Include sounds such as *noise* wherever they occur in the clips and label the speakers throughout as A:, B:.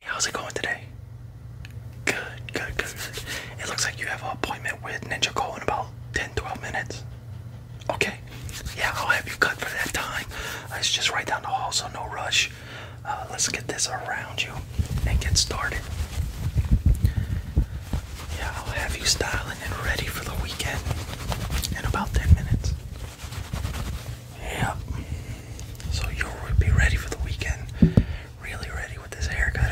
A: How's it going today? Good, good, good. It looks like you have an appointment with Ninja Cole in about 10 12 minutes. Okay, yeah, I'll have you cut for that time. Uh, it's just right down the hall, so no rush. Uh, let's get this around you and get started. Yeah, I'll have you styling and ready for the weekend in about 10 minutes. Yeah. So you'll be ready for the weekend. Really ready with this haircut,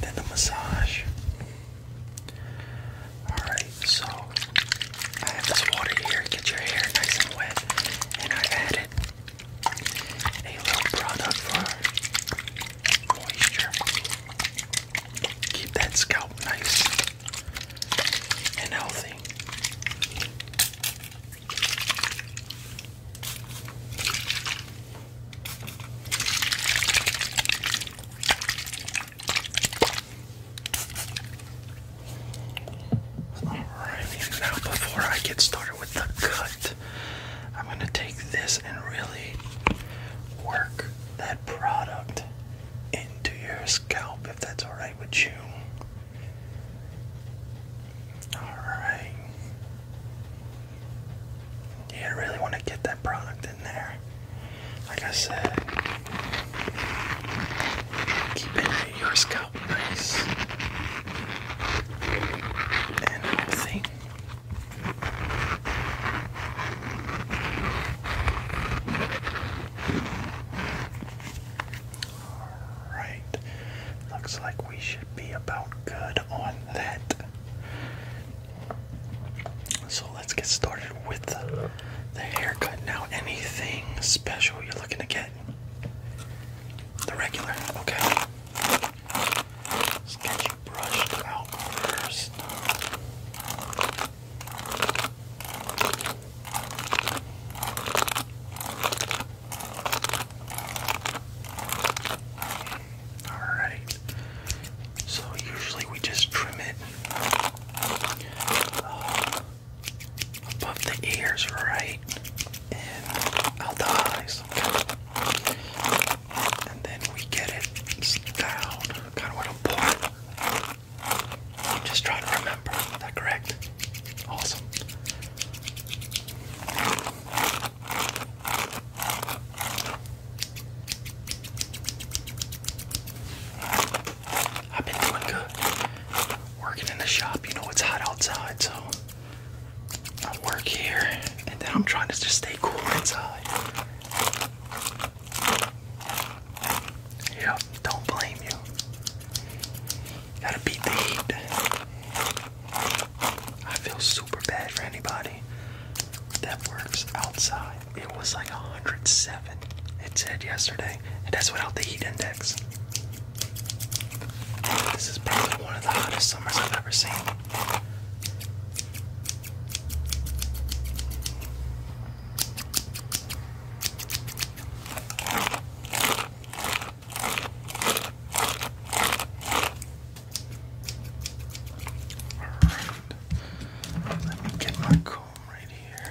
A: Then the massage. Alright, so I have this water here. Get your hair nice and wet. And I added a little product for moisture. Keep that scalp nice and healthy. Alrighty, now before I get started with the cut, I'm going to take this and really work that product into your scalp if that's alright with you. All right. Yeah, I really want to get that product in there. Like I said, keeping your scalp nice and healthy. Alright. Looks like we should be about good on that. So let's get started with the, haircut. Now, anything special you're looking to get? The regular, okay. Let's get you brushed out first. Alright, so usually we just trim it uh, above the ears, right? And out the eyes. And then we get it down, kind of with a point. just trying to remember that correct? Awesome. I've been doing good. Working in the shop, you know it's hot outside, so I work here and then I'm trying to just stay cool inside. Yep, don't blame you. Gotta beat the I feel super bad for anybody that works outside. It was like 107. It said yesterday, and that's without the heat index. This is probably one of the hottest summers I've ever seen. Alright. Let me get my comb right here.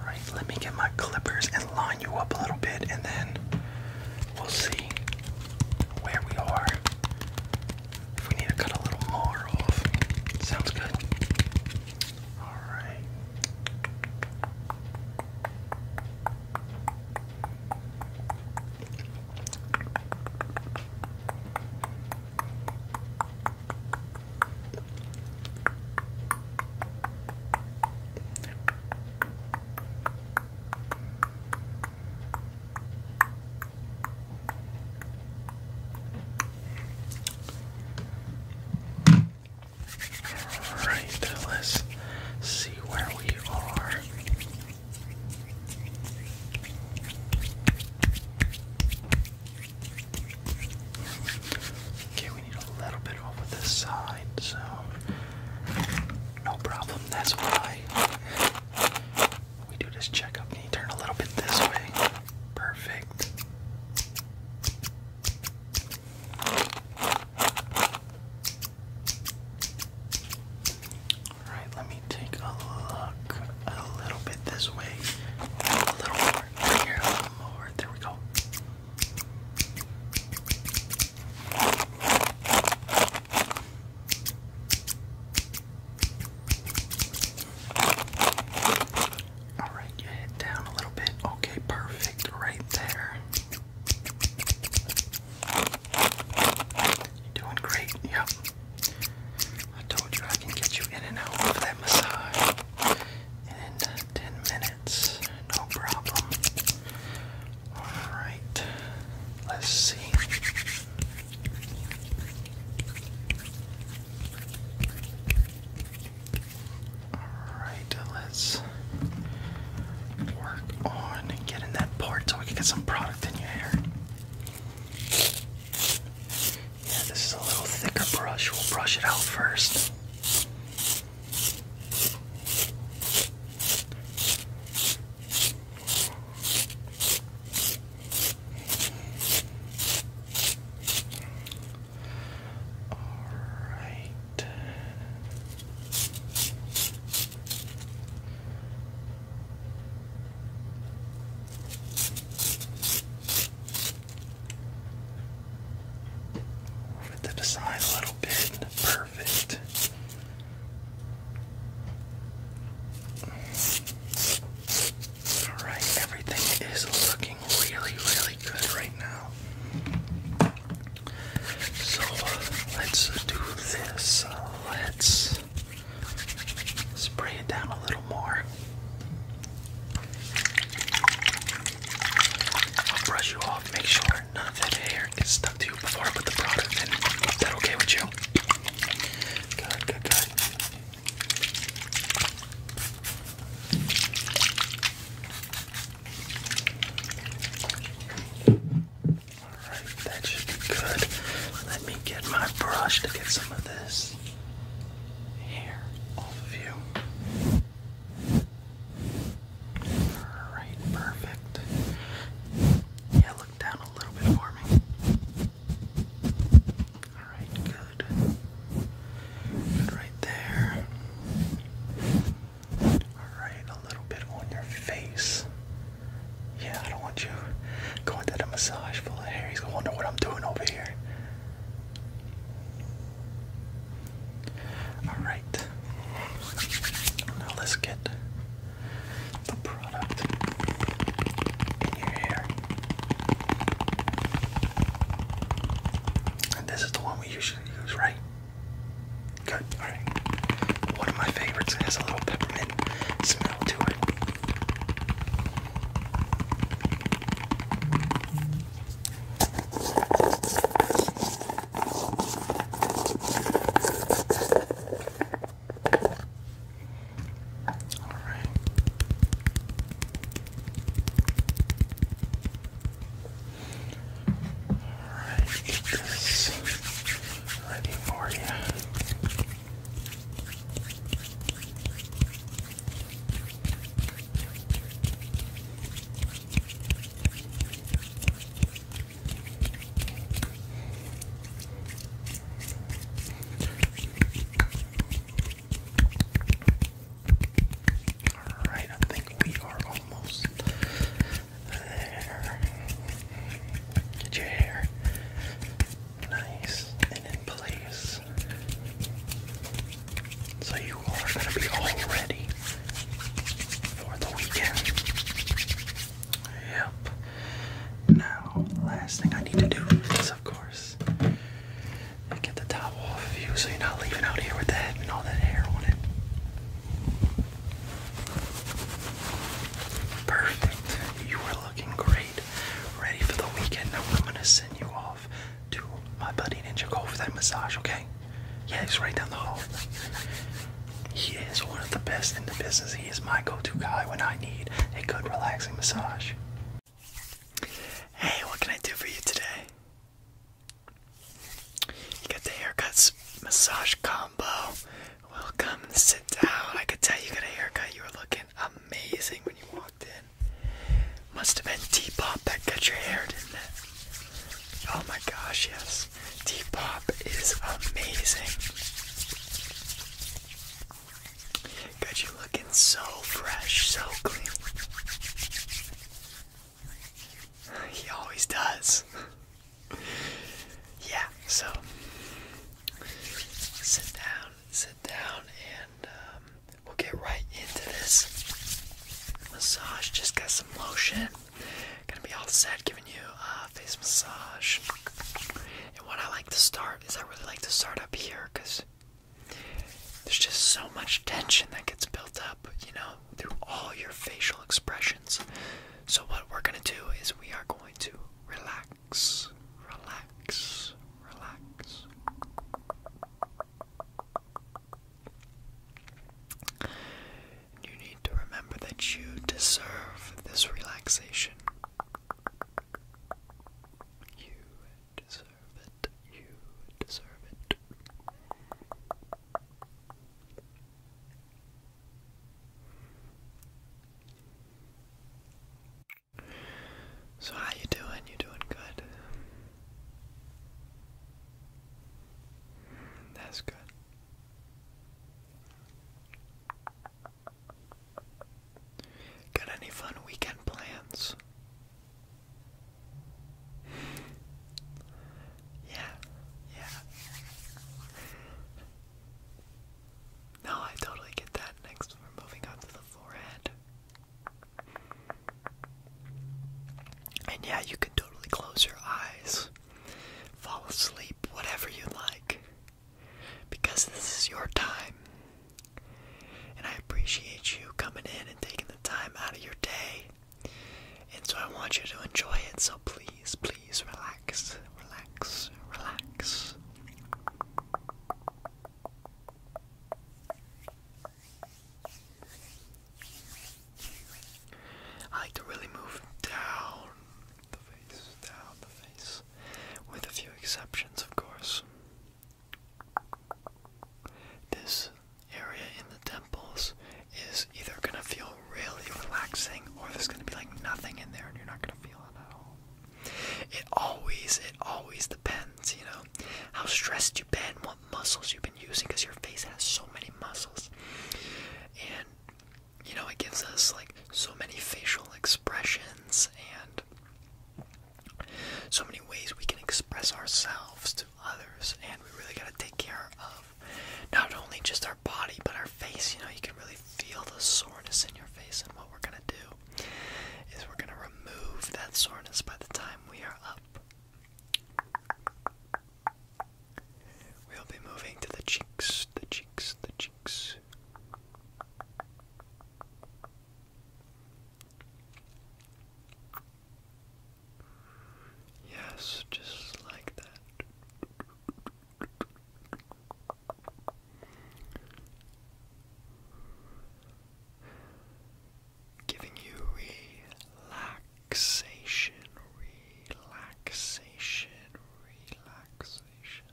A: Alright, let me get my clippers and line you up a little bit and then we'll see where we are. If we need to cut a little more off. Sounds good. Alright. Alright, let's see where we are. Okay, we need a little bit over this side, so
B: no problem. That's why we do this checkup. Can you turn a little bit this way? Perfect. Alright, let me take a look a little bit this way. A little more. here, a little more. There we go. Alright, you head down a little bit. Okay, perfect. Right there. You're doing great. Yep. I told you I can get you in and out of that massage in uh, 10 minutes. No problem. Alright, let's see.
A: Alright, let's work on getting that part so we get some product in your hair. Yeah, this is a little thicker brush. We'll brush it out first. All right. Move it to a little bit. Perfect. Alright, everything is looking really, really good right now. So let's do this. Uh, let's Spray it down a little more. I'll brush you off, make sure none of that hair gets stuck to you before I put the product in. Is that okay with you? Good, good, good. Alright, that should be good. Let me get my brush to get some of this hair off of you. Alright, perfect. Yeah, look down a little bit for me. Alright, good. Good right there. Alright, a little bit on your face. Yeah, I don't want you going to the massage full of hair. He's gonna wonder what I'm doing over here. Alright. Now let's get the product in your And this is the one we usually use, right? Good, alright. One of my favorites has a little peppermint smell to it. All right. All right, get this ready for you. All right, I think we are almost there. Get your hair nice and in place. So you are going to be all ready for the weekend. Yep. Now, last thing I need to do is, of course, get the top off of you so you're not leaving out here with the and all that hair on it. Perfect. You are looking great, ready for the weekend. Now I'm gonna send you off to my buddy Ninja Go for that massage, okay? Yeah, he's right down the hall. He is one of the best in the business. He is my go-to guy when I need a good relaxing massage.
B: Hey, what can I do for you today? You got the haircuts massage com combo. Welcome, sit down. I could tell you got a haircut. You were looking amazing when you walked in. Must have been T Pop that got your hair, didn't it? Oh my gosh, yes. T Pop is amazing. Got you looking so fresh, so clean. He always does yeah, so sit down, sit down, and um, we'll get right into this massage. Just got some lotion. Gonna be all set, giving you a face massage. And what I like to start is I really like to start up here because there's just so much tension that gets built up, you know, through all your facial expressions. So, what we're gonna do is we are going to relax relax, relax, relax. You need to remember that you deserve this relaxation. You deserve it. You deserve it. So how you doing? You doing good? That's good. Got any fun weekend plans? Yeah, yeah. No, I totally get that. Next, we're moving on to the forehead. And yeah, you can totally close your eyes, fall asleep, whatever you like, because this is your time. And I appreciate you coming in and taking the time out of your day. And so I want you to enjoy it, so please please, please relax, relax, relax. I like to really move down the face, down the face, with a few exceptions, of course. This area in the temples is either going to feel really relaxing, or there's gonna be like nothing in there and you're not gonna feel it at all. It always, it always depends, you know, how stressed you've been, what muscles you've been using, because your face has so many muscles. And, you know, it gives us like so many facial expressions and so many ways we can express ourselves to others, and we really gotta take care of not only just our body, but our face, you know, you can really feel the soreness in your face. And what we're going to do is we're going to remove that soreness by the time we are up. We'll be moving to the cheeks, the cheeks, the cheeks. Yes, just like that. Giving you relaxation, relaxation, relaxation.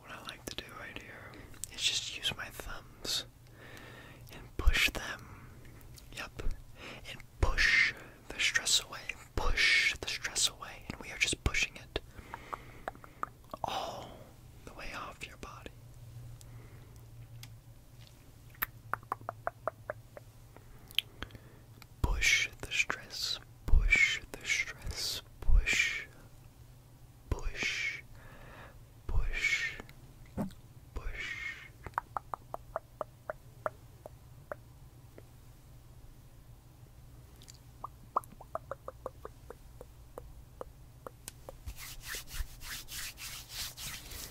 B: What I like to do right here is just use my thumbs and push them. up. And push the stress away. Push the stress away. And we are just pushing it all the way off your body. Push the stress. Push the stress. Push push, push, push.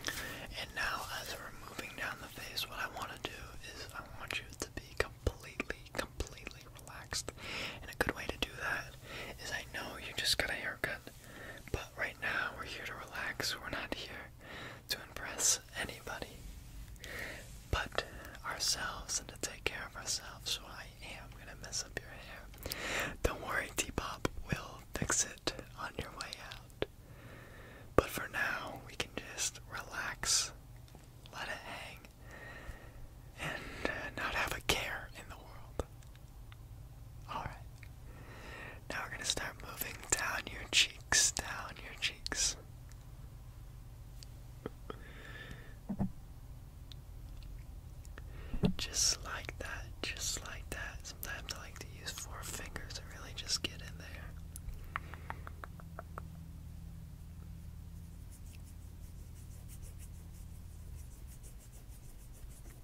B: And now, as we're moving down the face, what I want to do is I want you to be completely, completely relaxed. And a good way to do that is I know you just got a haircut but right now, we're here to relax. We're not here to impress anybody but ourselves and to take care of ourselves. So I am gonna mess up your hair. Don't worry, T Pop will fix it on your way out. But for now, we can just relax, let it hang, and not have a care in the world. Alright. Now we're going to start moving down your cheeks, down your cheeks. Just like that, just like that. Sometimes I like to use four fingers to really just get in there.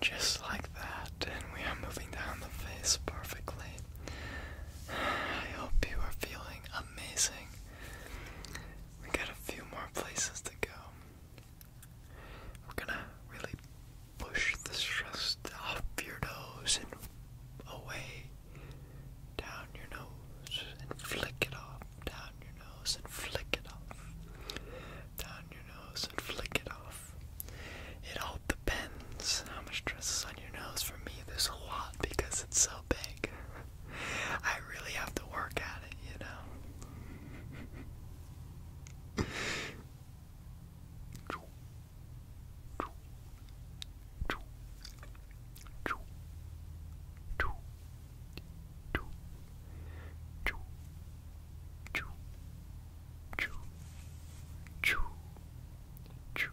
B: Just like that, and we are moving down the face perfectly. I hope you are feeling amazing. We got a few more places to go. We're gonna really push the stress off your nose and away down your nose and flick it off, down your nose and flick it off, down your nose and flick it off. It all depends how much stress is on your nose. For me, there's a lot because it's so big. *laughs* I really have to work at it, you know. *laughs* choo, choo, choo, choo, choo, choo,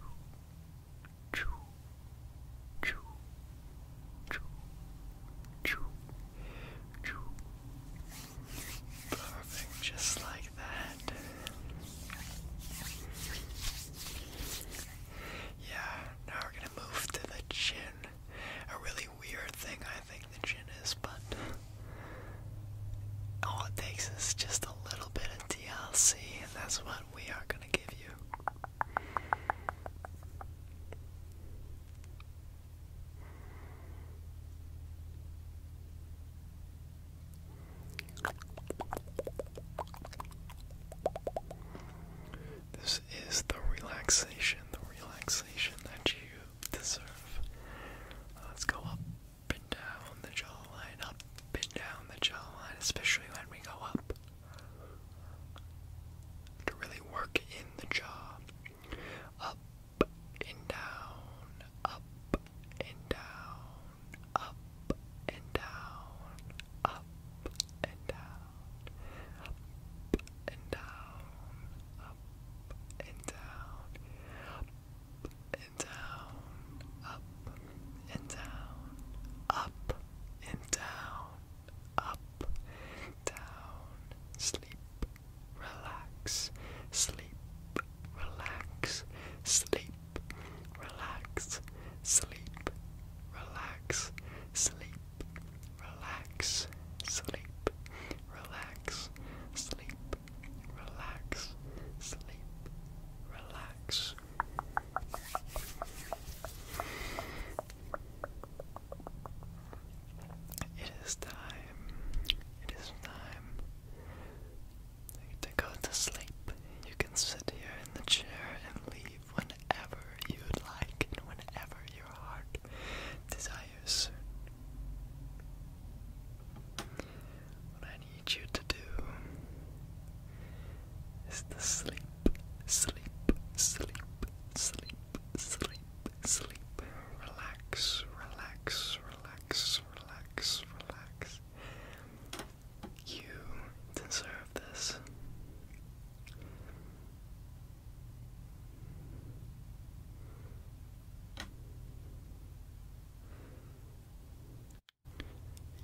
B: choo, choo, choo, choo, choo. Perfect, just like that. Yeah, now we're gonna move to the chin. A really weird thing I think the chin is, but all it takes is just a little bit of DLC, and that's what we are gonna give you. This is the relaxation, the relaxation that you deserve. Let's go up and down the jawline, up and down the jawline, especially when we go up. To really work in the jaw. Up and down, up and down, up and down, up and down up and down, up and down, up and down, up and down, up and down, up, down, sleep, relax, sleep, relax, sleep, relax, sleep, relax, sleep, relax, sleep, relax, sleep, relax, sleep, relax. It is time, it is time to go to sleep. You can sit here in the chair and leave whenever you'd like whenever your heart desires. What I need you to do is to sleep, sleep, sleep, sleep, sleep, sleep. Relax, relax, relax, relax, relax. You deserve this.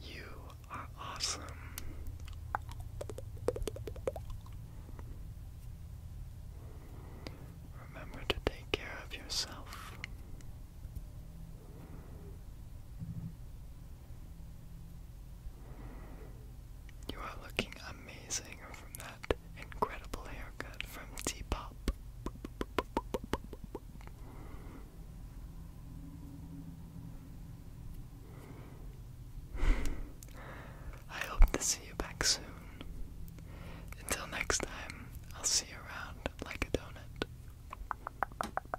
B: You are awesome. Remember to take care of yourself. You are looking amazing from that incredible haircut from T Pop. I hope to see you back soon. Until next time, I'll see you around like a donut.